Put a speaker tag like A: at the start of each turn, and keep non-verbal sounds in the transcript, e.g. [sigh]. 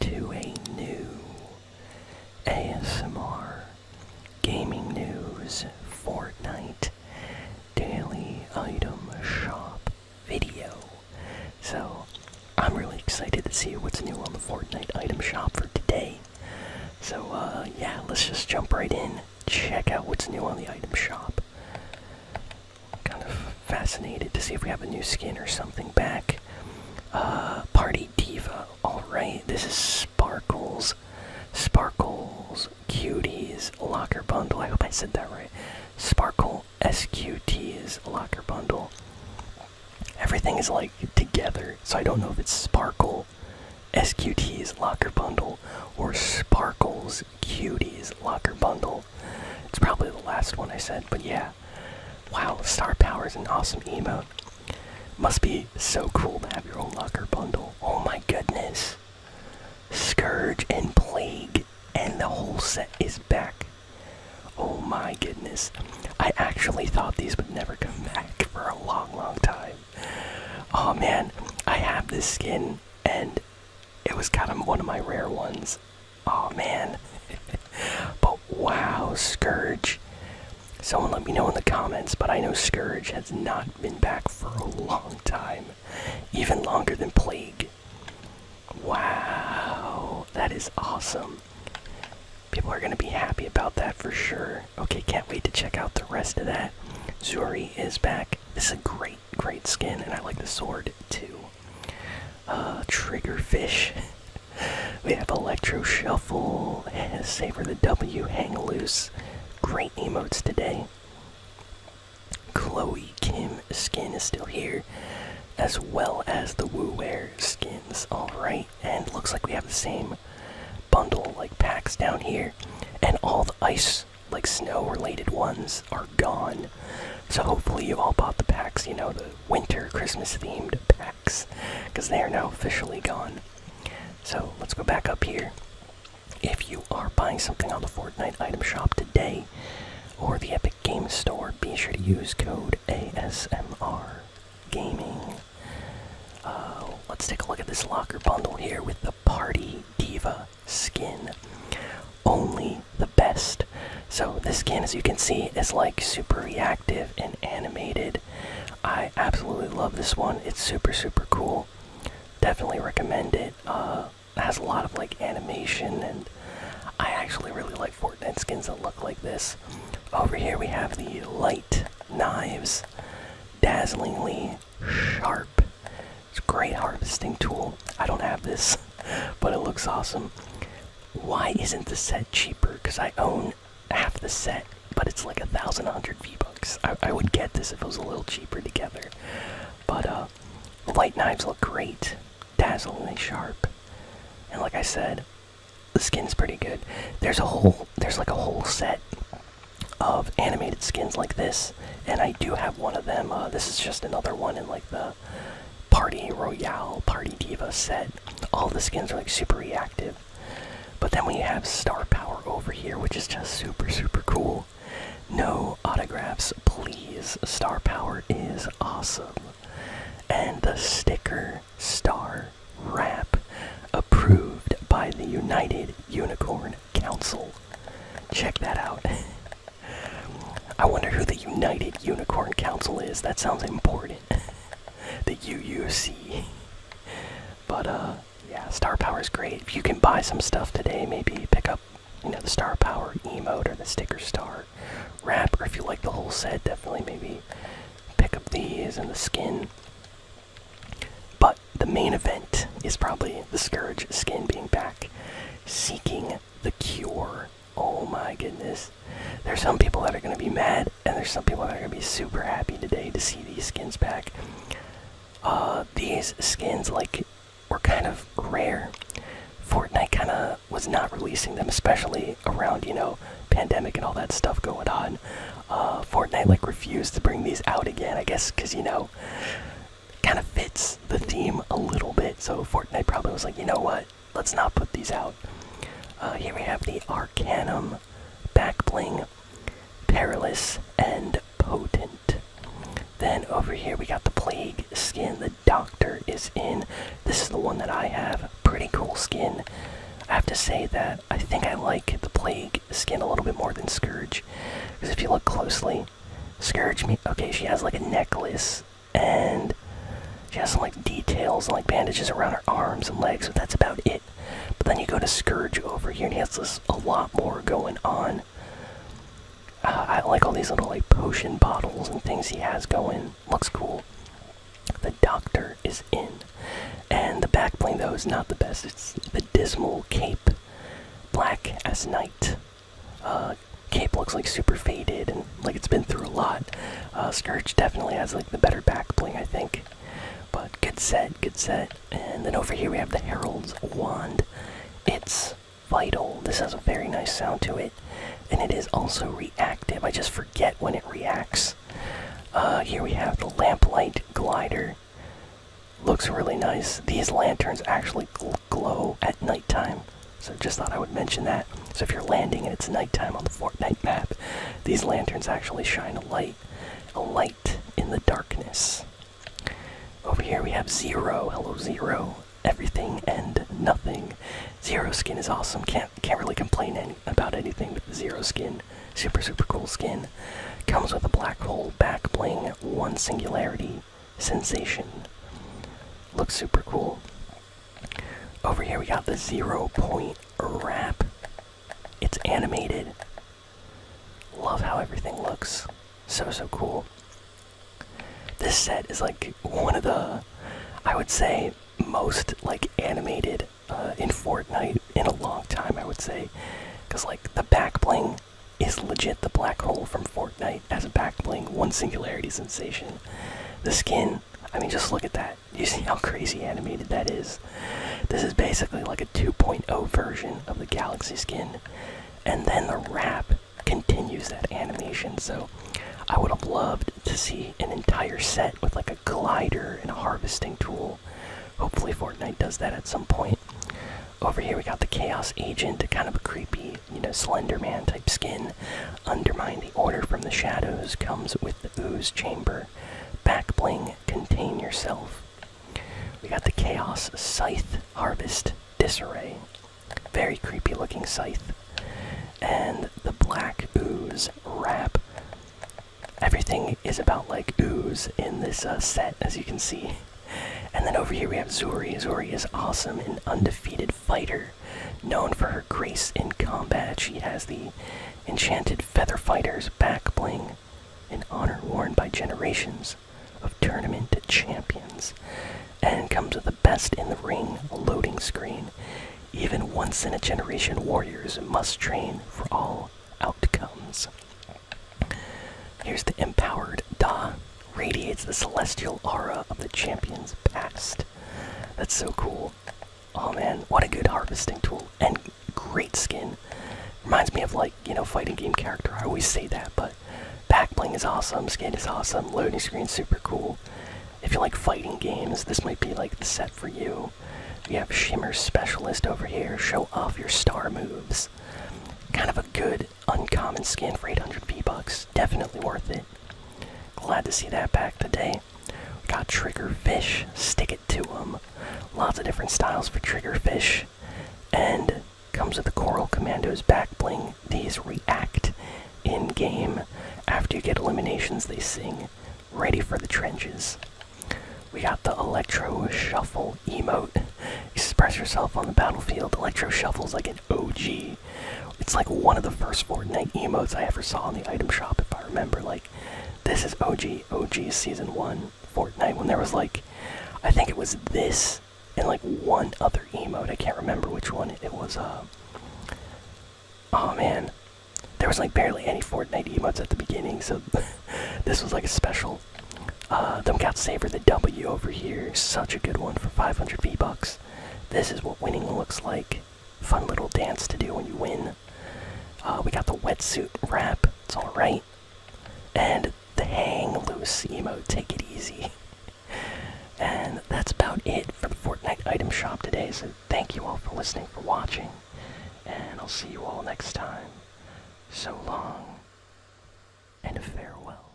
A: to a new ASMR Gaming News Fortnite Daily Item Shop video. So, I'm really excited to see what's new on the Fortnite Item Shop for today. So, uh, yeah, let's just jump right in, check out what's new on the Item Shop. Kind of fascinated to see if we have a new skin or something back. Uh, Party Diva. Alright, this is Sparkles. Sparkles Cuties Locker Bundle. I hope I said that right. Sparkle SQT's Locker Bundle. Everything is like together, so I don't know if it's Sparkle SQT's Locker Bundle or Sparkles Cuties Locker Bundle. It's probably the last one I said, but yeah. Wow, Star Power is an awesome emote. Must be so cool to have your own locker bundle. Oh my goodness. Scourge and Plague and the whole set is back. Oh my goodness. I actually thought these would never come back for a long, long time. Oh man, I have this skin and it was kind of one of my rare ones Oh man. but wow, Scourge. Someone let me know in the comments, but I know Scourge has not been back for a long time. Even longer than Plague. Wow, that is awesome. People are going to be happy about that for sure. Okay, can't wait to check out the rest of that. Zuri is back. This is a great, great skin, and I like the sword too uh, Triggerfish. [laughs] we have Electro Shuffle, Savor the W, Hang Loose. Great emotes today. Chloe Kim skin is still here, as well as the Wu Wear skins. Alright, and looks like we have the same bundle like packs down here, and all the ice like snow related ones are gone. So hopefully you all bought the packs, you know, the winter Christmas themed packs because they are now officially gone. So let's go back up here. If you are buying something on the Fortnite item shop today or the Epic Games Store, be sure to use code ASMR Gaming. Uh, let's take a look at this locker bundle here with the Party Diva skin. Only the best. So this skin, as you can see, is like super reactive and animated. I absolutely love this one. It's super super cool. Definitely recommend uh, it. has a lot of like animation, and I actually really like Fortnite skins that look like this. Over here we have the light knives, dazzlingly sharp. It's a great harvesting tool. I don't have this, [laughs] but it looks awesome why isn't the set cheaper? Because I own half the set, but it's like a thousand hundred V bucks. I, would get this if it was a little cheaper together. But uh, the light knives look great, dazzlingly sharp, and like I said, the skin's pretty good. There's a whole, there's like a whole set of animated skins like this, and I do have one of them. Uh, this is just another one in like the Party Royale, Party Diva set. All the skins are like super reactive. But then we have Star Power over here, which is just super, super cool. No autographs, please. Star Power is awesome. And the sticker Star Wrap, approved by the United Unicorn Council. Check that out. [laughs] I wonder who the United Unicorn Council is. That sounds important. [laughs] the UUC. But uh yeah, star power is great. If you can buy some stuff today, maybe pick up you know the star power emote or the sticker star wrap, or if you like the whole set, definitely maybe pick up these and the skin. But the main event is probably the Scourge skin being back. Seeking the cure. Oh my goodness. There's some people that are going to be mad, and there's some people that are going to be super happy today to see these skins back. Uh, these skins, like, were kind of rare. Fortnite kind of was not releasing them, especially around, you know, pandemic and all that stuff going on. Uh, Fortnite, like, refused to bring these out again, I guess, because, you know, kind of fits the theme a little bit. So Fortnite probably was like, you know what? let's not put these out. Uh, here we have the Arcanum, Backbling, Perilous, and Potent. Then over here we got the Plague skin. The Doctor is in. This is the one that I have. Pretty cool skin. I have to say that I think I like the Plague skin a little bit more than Scourge. Because if you look closely, Scourge me. Okay, she has like a necklace and she has some like details and like bandages around her arms and legs, but that's about it. But then you go to Scourge over here, and he has this, a lot more going on. Uh, I like all these little like potion bottles and things he has going. Looks cool. The doctor is in, and the backplane though is not the best. It's the dismal cape, black as night, uh, cape looks like super faded and like it's been through a lot. Uh, Scourge definitely has like the better back bling, I think. But good set, good set. And then over here we have the Herald's Wand. It's vital. This has a very nice sound to it. And it is also reactive. I just forget when it reacts. Uh, here we have the Lamplight Glider. Looks really nice. These lanterns actually glow at nighttime. So just thought I would mention that. So if you're landing and it's nighttime on the Fortnite map, these lanterns actually shine a light, a light in the darkness. Over here we have Zero. Hello Zero. Everything and nothing. Zero skin is awesome. Can't can't really complain about anything with the Zero skin. Super super cool skin. Comes with a black hole back bling, one singularity sensation. Looks super cool. Over here we got the zero point wrap. It's animated. Love how everything looks. So, so cool. This set is like one of the, I would say, most like animated uh, in Fortnite in a long time, I would say. Because like the back bling is legit the black hole from Fortnite as a back bling, one singularity sensation. The skin I mean, just look at that. You see how crazy animated that is. This is basically like a 2.0 version of the Galaxy skin, and then the wrap continues that animation. So, I would have loved to see an entire set with like a glider and a harvesting tool. Hopefully, Fortnite does that at some point. Over here, we got the Chaos Agent, kind of a creepy you know, Slender Man type skin. Undermine the Order from the Shadows comes with the Ooze Chamber. Back Bling, Contain Yourself. We got the Chaos Scythe Harvest Disarray. Very creepy looking scythe. And the Black Ooze Wrap. Everything is about like ooze in this uh, set, as you can see. And then over here we have Zuri. Zuri is awesome, an undefeated fighter. Known for her grace in combat, she has the enchanted feather fighter's back bling, an honor worn by generations of tournament champions, and comes with the best in the ring loading screen. Even once in a generation, warriors must train for all outcomes. Here's the empowered Da. Radiates the celestial aura of the champion's past. That's so cool. Oh man, what a good harvesting tool and great skin. Reminds me of like, you know, fighting game character. I always say that, but back bling is awesome, skin is awesome, loading screen super cool. If you like fighting games, this might be like the set for you. We have Shimmer Specialist over here, show off your star moves. Kind of a good uncommon skin for 800 V-Bucks, definitely worth it. Glad to see that back today. We got Triggerfish, stick it to 'em. Lots of different styles for Triggerfish. And comes with the Coral Commando's back bling. These react in game. After you get eliminations, they sing. Ready for the trenches. We got the Electro Shuffle emote. Express yourself on the battlefield. Electro Shuffle's like an OG. It's like one of the first Fortnite emotes I ever saw in the item shop, if I remember. Like, this is OG, OG Season 1 Fortnite, when there was like, I think it was this and like one other emote. I can't remember which one it was. Uh, oh man, there was like barely any Fortnite emotes at the beginning, so [laughs] this was like a special. Uh, them got Saver the W over here. Such a good one for 500 V bucks. This is what winning looks like. Fun little dance to do when you win. Uh, we got the wetsuit wrap. It's all right. And the hang loose emote. Take it easy. [laughs] And that's about it for the Fortnite item shop today. So thank you all for listening, for watching, and I'll see you all next time. So long, and farewell.